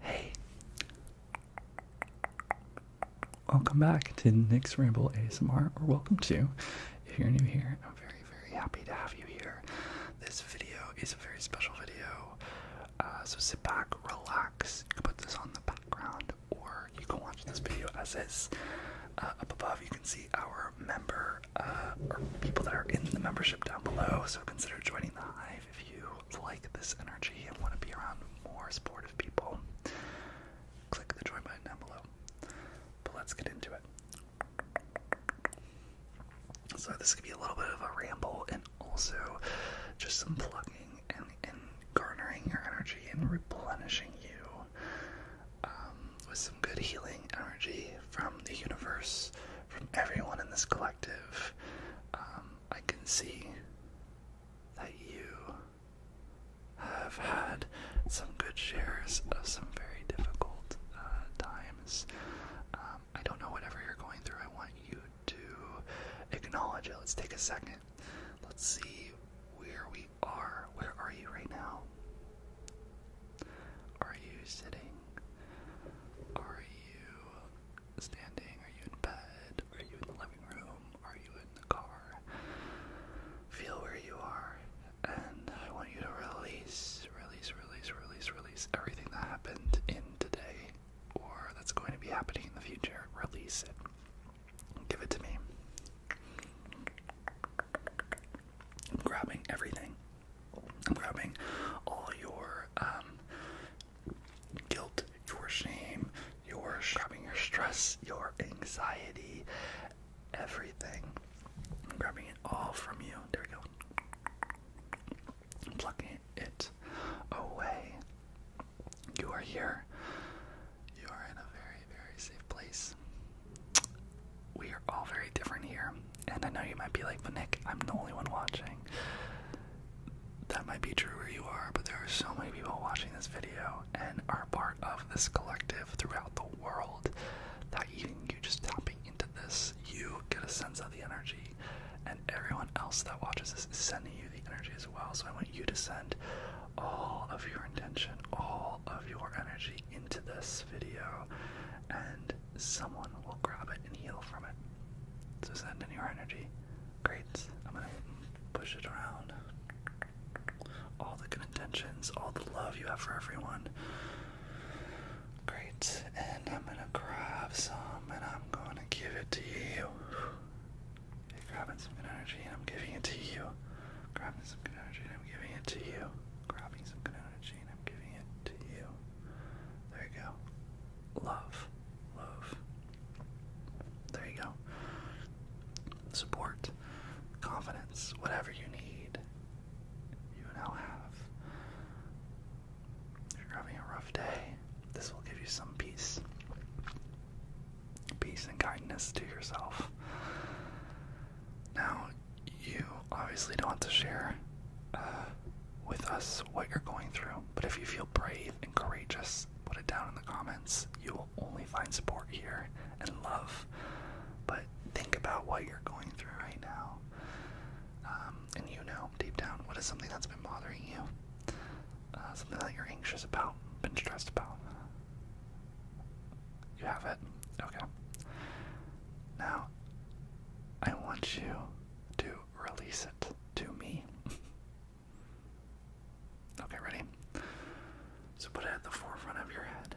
Hey, welcome back to Nick's Ramble ASMR, or welcome to. If you're new here, I'm very, very happy to have you here. This video is a very special video, uh, so sit back, relax. put this on the background, or you can watch this video as is. Uh, up above, you can see our member, uh, or people that are in the membership down below, so consider joining the hive if you like this energy and want to be around more supportive people, click the join button down below. But let's get into it. So this could be a little bit of a ramble and also just some plugging and, garnering your energy and replenishing you um, with some good healing energy from the universe, from everyone in this collective. Um, I can see that you have had some good shares of some very difficult uh, times. Um, I don't know whatever you're going through. I want you to acknowledge it. Let's take a second. Let's see where we are. Where are you right now? Are you sitting? Are you standing? Are you in bed? Are you in the living room? Are you in the car? Feel where you are. And I want you to release, release, release, release, release everything that happened in today or that's going to be happening in the future. Release it. Give it to me. I'm grabbing everything. I'm grabbing all your um, guilt, your shame, your shoving, your stress, your anxiety, everything. I'm grabbing it all from you. There we go. I'm Plucking it away. You are here. You are in a very, very safe place. We are all very different here. And I know you might be like, but Nick, I'm the only one watching that might be true where you are, but there are so many people watching this video and are part of this collective throughout the world that even you just tapping into this, you get a sense of the energy, and everyone else that watches is sending you the energy as well. So I want you to send all of your intention, all of your energy into this video, and someone will grab it and heal from it. So sending your energy. Great. I'm gonna push it around. All the good intentions, all the love you have for everyone. Great. And I'm gonna grab some and I'm gonna give it to you. grabbing some good energy and I'm giving it to you. Grabbing some good energy and I'm giving it to you. Grabbing some good energy and I'm giving it to you. There you go. Love. Love. There you go. Support, confidence, whatever you need, you now have. If you're having a rough day, this will give you some peace. Peace and kindness to yourself. Now, you obviously don't want to share uh, with us what you're going through. But if you feel brave and courageous, put it down in the comments. You will only find support here and love. But think about what you're going through right now. Um, and you know deep down what is something that's been bothering you, uh, something that you're anxious about, been stressed about. You have it? Okay. Now, I want you to release it to me. okay, ready? So put it at the forefront of your head.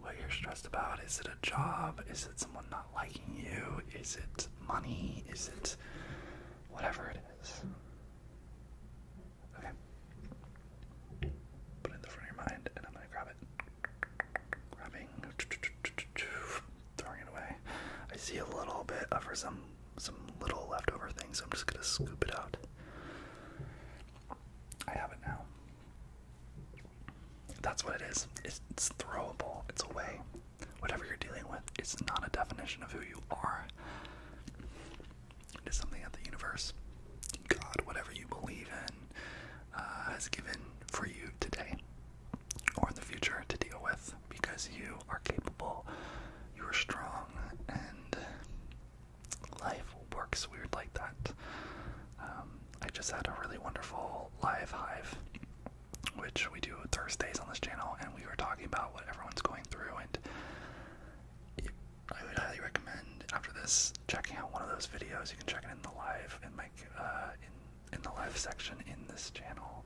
What you're stressed about. Is it a job? Is it someone not liking you? Is it money? Is it whatever it is? Okay. Put it in the front of your mind and I'm gonna grab it. Grabbing throwing it away. I see a little bit of for some some little leftover thing, so I'm just gonna scoop it out. I have it now. That's what it is. It's, throwable. It's away. Whatever you're dealing with, it's not a definition of who you are. It is something that the universe, God, whatever you believe in, uh, has given for you today or in the future to deal with because you are capable, you are strong, and life works weird like that. Um, I just had a really wonderful live hive, which we do Thursdays on this channel, and we were talking about what everyone's going through. And I would highly recommend after this checking out one of those videos. You can check it in the live and my uh, in the live section in this channel.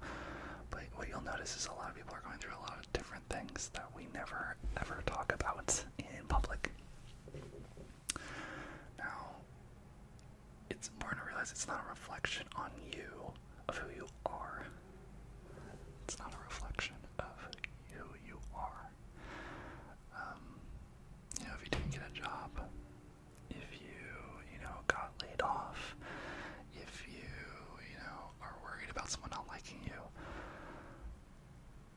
But what you'll notice is a lot of people are going through a lot of different things that we never ever talk about in public. Now, it's important to realize it's not a reflection on you of who you are. It's not a reflection of who you are. Um, you know, if you didn't get a job, if you, you know, got laid off, if you, you know, are worried about someone not liking you,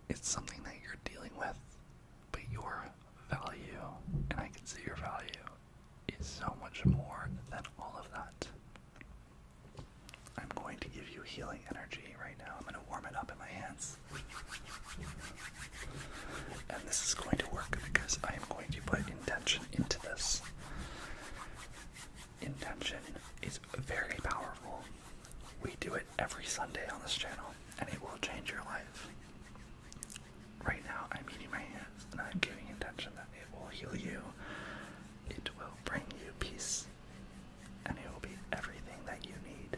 it's something that you're dealing with, but your value, and I can see your value, is so much more than all of that. I'm going to give you healing energy right now. I'm going to warm it up in my hands. And this is going to work because I am going to put intention into this. Intention is very powerful. We do it every Sunday on this channel, and it will change your life. Right now, I'm eating my hands, and I'm giving intention that it will heal you, it will bring you peace, and it will be everything that you need.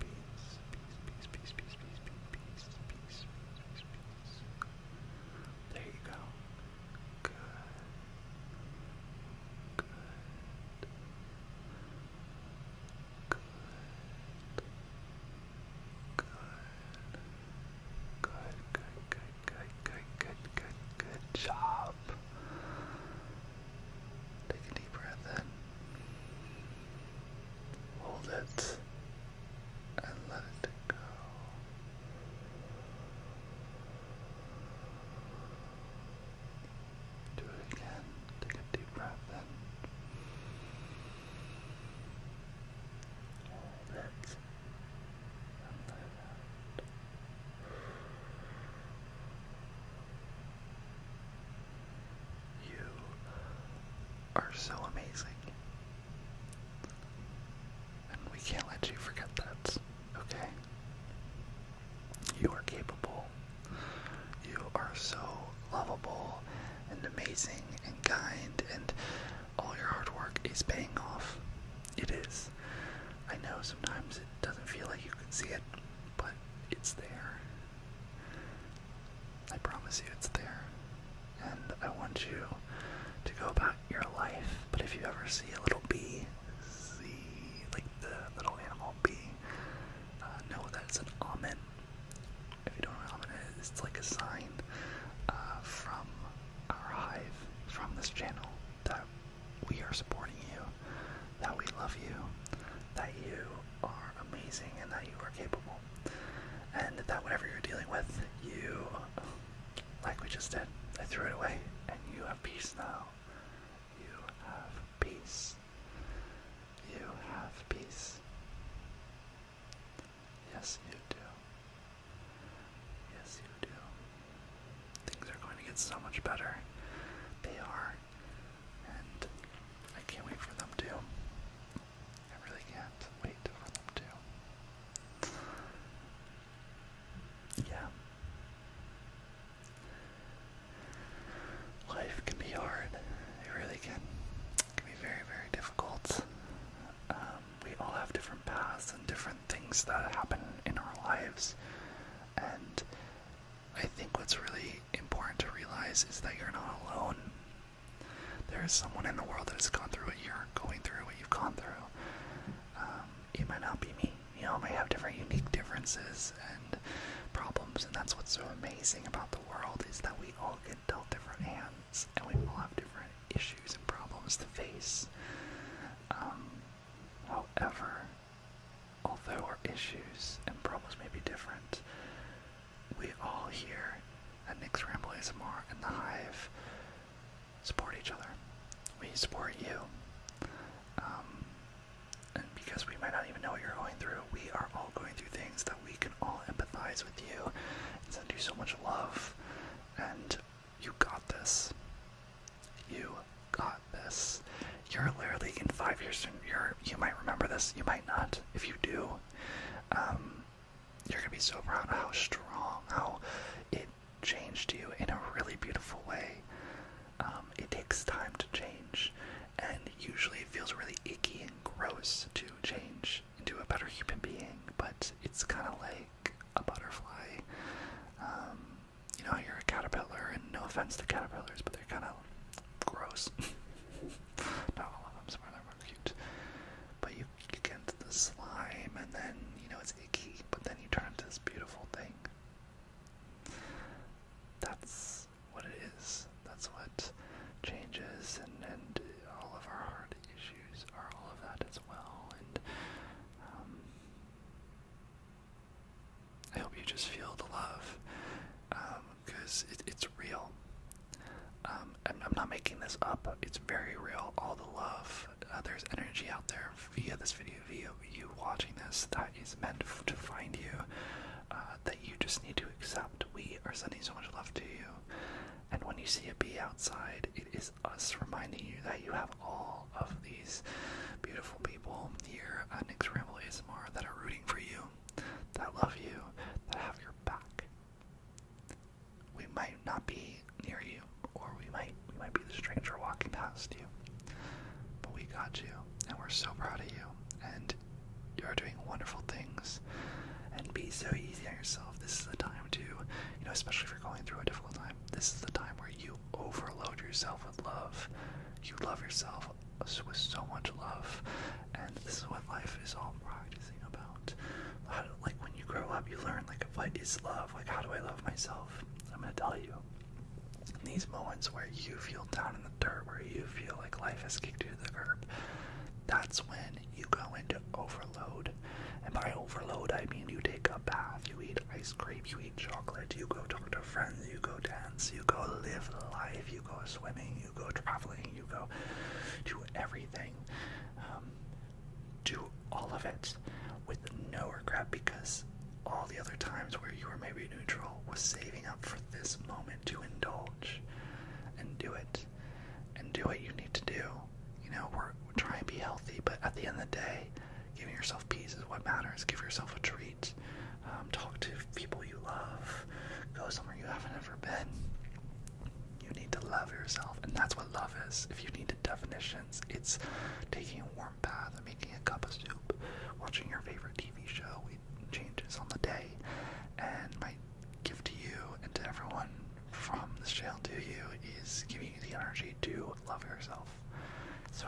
Peace, peace, peace, peace, peace, peace, peace, peace, peace, peace. There you go. Good. Good. Good. Good. Good, good, good, good, good, good, good, good job. Take a deep breath in. Hold it and let it go. Do it again. Take a deep breath in. Hold it and let it out. You are so amazing. And we can't let you forget that, okay? You are capable. You are so lovable and amazing and kind, and all your hard work is paying off. It is. I know sometimes it doesn't feel like you can see it, but it's there, I promise you it's there. And I want you to go about your life, but if you ever see a little bee, see, like the little animal bee, uh, know that it's an omen. If you don't know what omen is, it's like a sign uh, from our hive, from this channel, that we are supporting you that we love you, that you are amazing, and that you are capable, and that whatever you're dealing with, you, like we just did, I threw it away, and you have peace now. You have peace. You have peace. Yes, you do. Yes, you do. Things are going to get so much better. They are. And I can't wait for them to. I really can't wait for them to. Yeah. Life can be hard. It really can. It can be very, very difficult. Um, we all have different paths and different things that happen in our lives. And I think what's really important to realize is that you're not alone. There is someone in the world that has gone through what you're going through, what you've gone through. Um, it might not be me. You know, it may have different unique differences and problems, and that's what's so amazing about the world is that we all get dealt different hands, and we all have different issues and problems to face. Um, however, although our issues and problems may be different, we all here at Nick's Ramble ASMR and The Hive support each other. We support you. Um, and because we might not even know what you're going through, we are all going through things that we can all empathize with you and send you so much love. And you got this. You got this you're literally in five years you're you might remember this, you might not. If you do, um, you're gonna be so proud of how strong, how it changed you in a really beautiful way. Um, it takes time to change, and usually it feels really icky and gross to change into a better human being, but it's kind of like a butterfly. Um, you know, you're a caterpillar, and no offense to caterpillars, but they're kind of gross. Not all of them, some of them are cute. But you, you get into the slime, and then, you know, it's icky, but then you turn into this beautiful thing. That's what it is. That's what changes, and, and all of our heart issues are all of that as well. And um, I hope you just feel the love. Um, because it's real. Um, I'm, not making this up. It's very real. All the love, uh, there's energy out there via this video, via you watching this that is meant to find you, uh, that you just need to accept. We are sending so much love to you, and when you see a bee outside, it is us reminding you that you have all of these beautiful people here at uh, Nick's Ramble ASMR that are rooting for you that love you, that have your back. We might not be near you, or we might we might be the stranger walking past you. But we got you, and we're so proud of you, and you're doing wonderful things. And be so easy on yourself. This is the time to, you know, especially if you're going through a difficult time. This is the time where you overload yourself with love. You love yourself with so much love, and this is what life is all practicing about. like when you grow up, you learn like what is love. Like how do I love myself? I'm gonna tell you. In these moments where you feel down in the dirt, where you feel like life has kicked you to the curb, that's when you go into overload. And by overload, I mean you take a bath, you eat ice cream, you eat chocolate, you go talk to friends, you go dance, you go live life, you go swimming, you go traveling, you go to everything. Um, do all of it with no regret because all the other times where you were maybe neutral was saving up for this moment to indulge and do it and do what you need to do. You know, we're, we're trying to be healthy, but at the end of the day, giving yourself peace is what matters. Give yourself a treat. Um, talk to people you love, go somewhere you haven't ever been. You need to love yourself, and that's what love is. If you need definitions, it's taking a warm bath making a cup of soup, watching your favorite TV show. It changes on the day, and my gift to you and to everyone from this channel to you is giving you the energy to love yourself. So,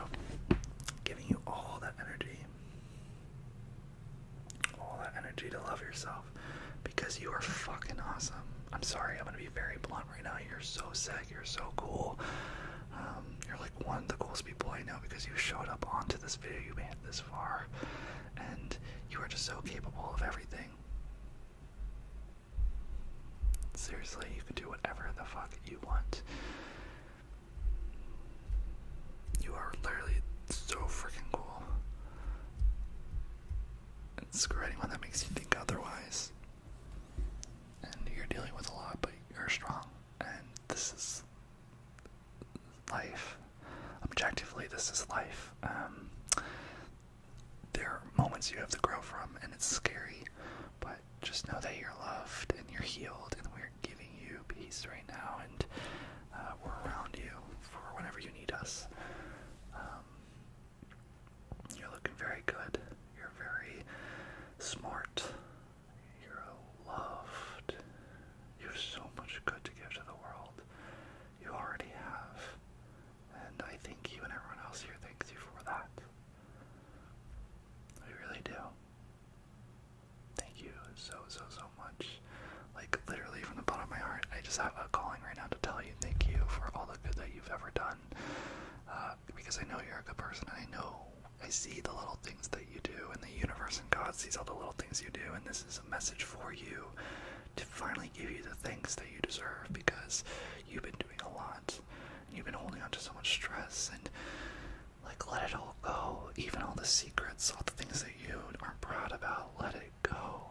giving you all that energy all that energy to love yourself because you are fucking awesome. I'm sorry, I'm gonna be very blunt right now. You're so sick, you're so cool. Um, you're like one of the coolest people I know because you showed up onto this video, you made it this far, and you are just so capable of everything. Seriously, you can do whatever the fuck you want. You are literally so freaking cool. And screw anyone that makes you think otherwise. And you're dealing with a lot, but you're strong. And this is life. Objectively, this is life. Um, there are moments you have to grow from, and it's scary, but just know that you're loved and you're healed, and we are giving you peace right now, and uh, we're around you for whenever you need us. Um, you're looking very good. You're very smart. You're loved. You have so much good to give to the world. You already have. And I think you and everyone else here thanks you for that. We really do. Thank you so, so, so much. Like, literally, from the bottom of my heart, I just have a calling right now to tell you thank you for all the good that you've ever done. Uh, because I know you're a good person, and I know I see the little things that you do, and the universe and God sees all the little things you do, and this is a message for you to finally give you the things that you deserve because you've been doing a lot, and you've been holding on to so much stress, and like, let it all go. Even all the secrets, all the things that you aren't proud about, let it go.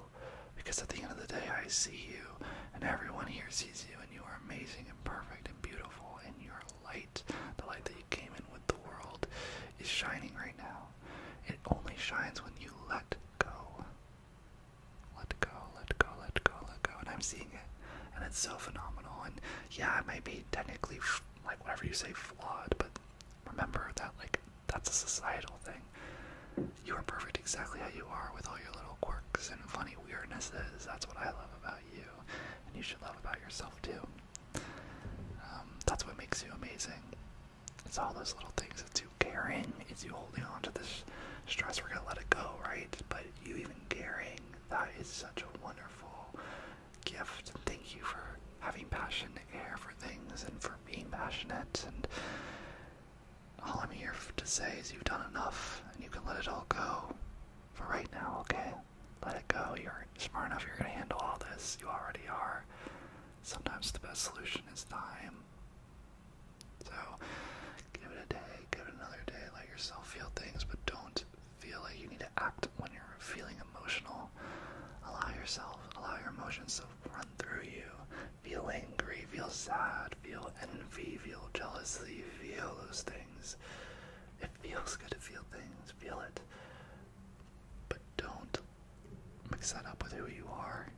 Because at the end of the day, I see you, and everyone here sees you, and you are amazing and perfect and beautiful, and your light, the light that you came in with the world, is shining right now. It only shines when you let go. Let go, let go, let go, let go. And I'm seeing it. And it's so phenomenal. And yeah, it might be technically, like whatever you say, flawed, but remember that like that's a societal thing. You are perfect exactly how you are with all your little quirks and funny weirdnesses. That's what I love about you, and you should love about yourself too. Um, that's what makes you amazing. It's all those little things. It's you caring. It's you holding on to this stress. We're gonna let it go, right? But you even caring. That is such a wonderful gift. And thank you for having passion air for things and for being passionate. And all I'm here to say is you've done enough and you can let it all go for right now, okay? Let it go. You're smart enough. You're going to handle all this. You already are. Sometimes the best solution is time. So give it a day, give it another day, let yourself feel things, but don't feel like you need to act when you're feeling emotional, allow yourself, allow your emotions to run through you. Feel angry, feel sad, feel envy, feel jealousy, feel those things. It feels good to feel things, feel it. But don't mix that up with who you are.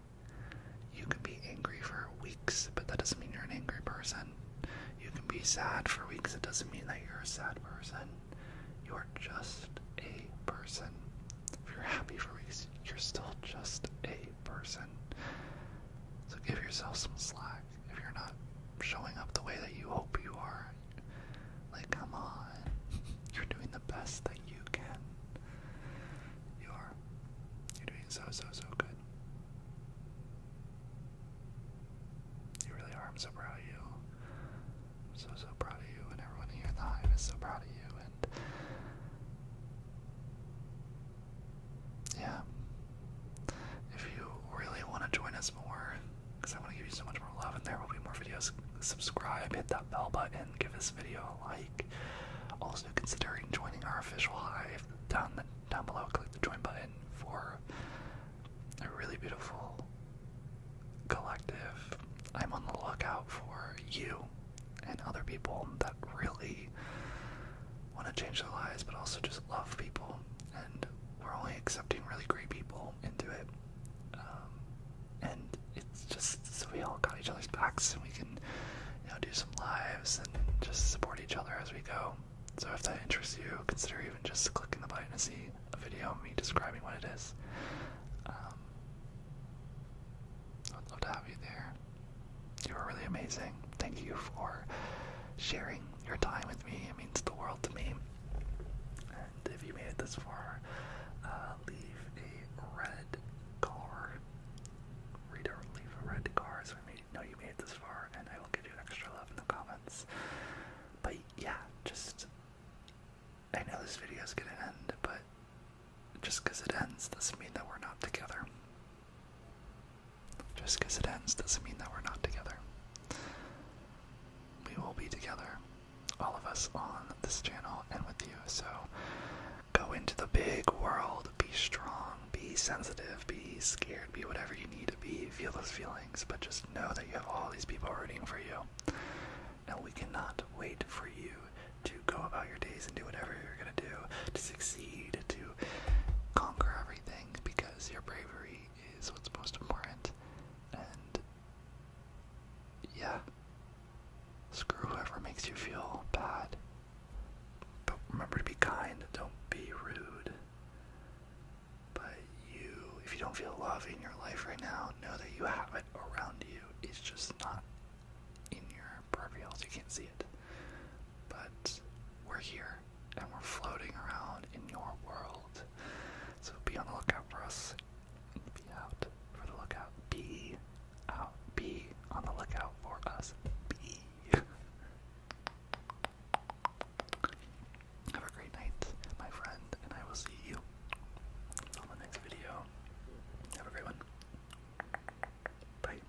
You can be angry for weeks, but that doesn't mean you're an angry person. You can be sad for weeks, it doesn't mean that you're a sad person. You're just a person. If you're happy for weeks, you're still just a person. So give yourself some slack. If you're not showing up the way that you hope you are, like, come on. You're doing the best that you can. You are. You're doing so, so, so good. You really are. so proud of you so so proud of you, and everyone here in the hive is so proud of you, and yeah. If you really want to join us more, because I want to give you so much more love, and there will be more videos. Subscribe, hit that bell button, give this video a like. Also, considering joining our official hive down the, down below. Click the join button for a really beautiful collective, I'm on the lookout for you and other people that really want to change their lives, but also just love people. And we're only accepting really great people into it. Um, and it's just so we all got each other's backs and we can, you know, do some lives and just support each other as we go. So if that interests you, consider even just clicking the button to see a video of me describing what it is. Um, I'd love to have you there. You are really amazing. Thank you for sharing your time with me. It means the world to me. And if you made it this far, uh, leave a red car. Read leave a red car so we know you made it this far, and I will give you extra love in the comments. But yeah, just I know this video is going to end, but just because it ends doesn't mean that we're not together. Just because it ends doesn't mean that we're not together. We will be together, all of us on this channel and with you. So go into the big world, be strong, be sensitive, be scared, be whatever you need to be. Feel those feelings, but just know that you have all these people rooting for you. Now we cannot wait for you to go about your days and do whatever you're going to do to succeed, to conquer everything, because your bravery is what's most important. And yeah, screw whoever makes you feel bad. But remember to be kind, don't be rude. But you if you don't feel love in your life right now, know that you have it around you. It's just not in your peripherals. You can't see it. But we're here and we're floating around in your world. So be on the lookout for us. Be out for the lookout. Be out. Be on the lookout for us. Be. Have a great night, my friend, and I will see you on the next video. Have a great one. Bye.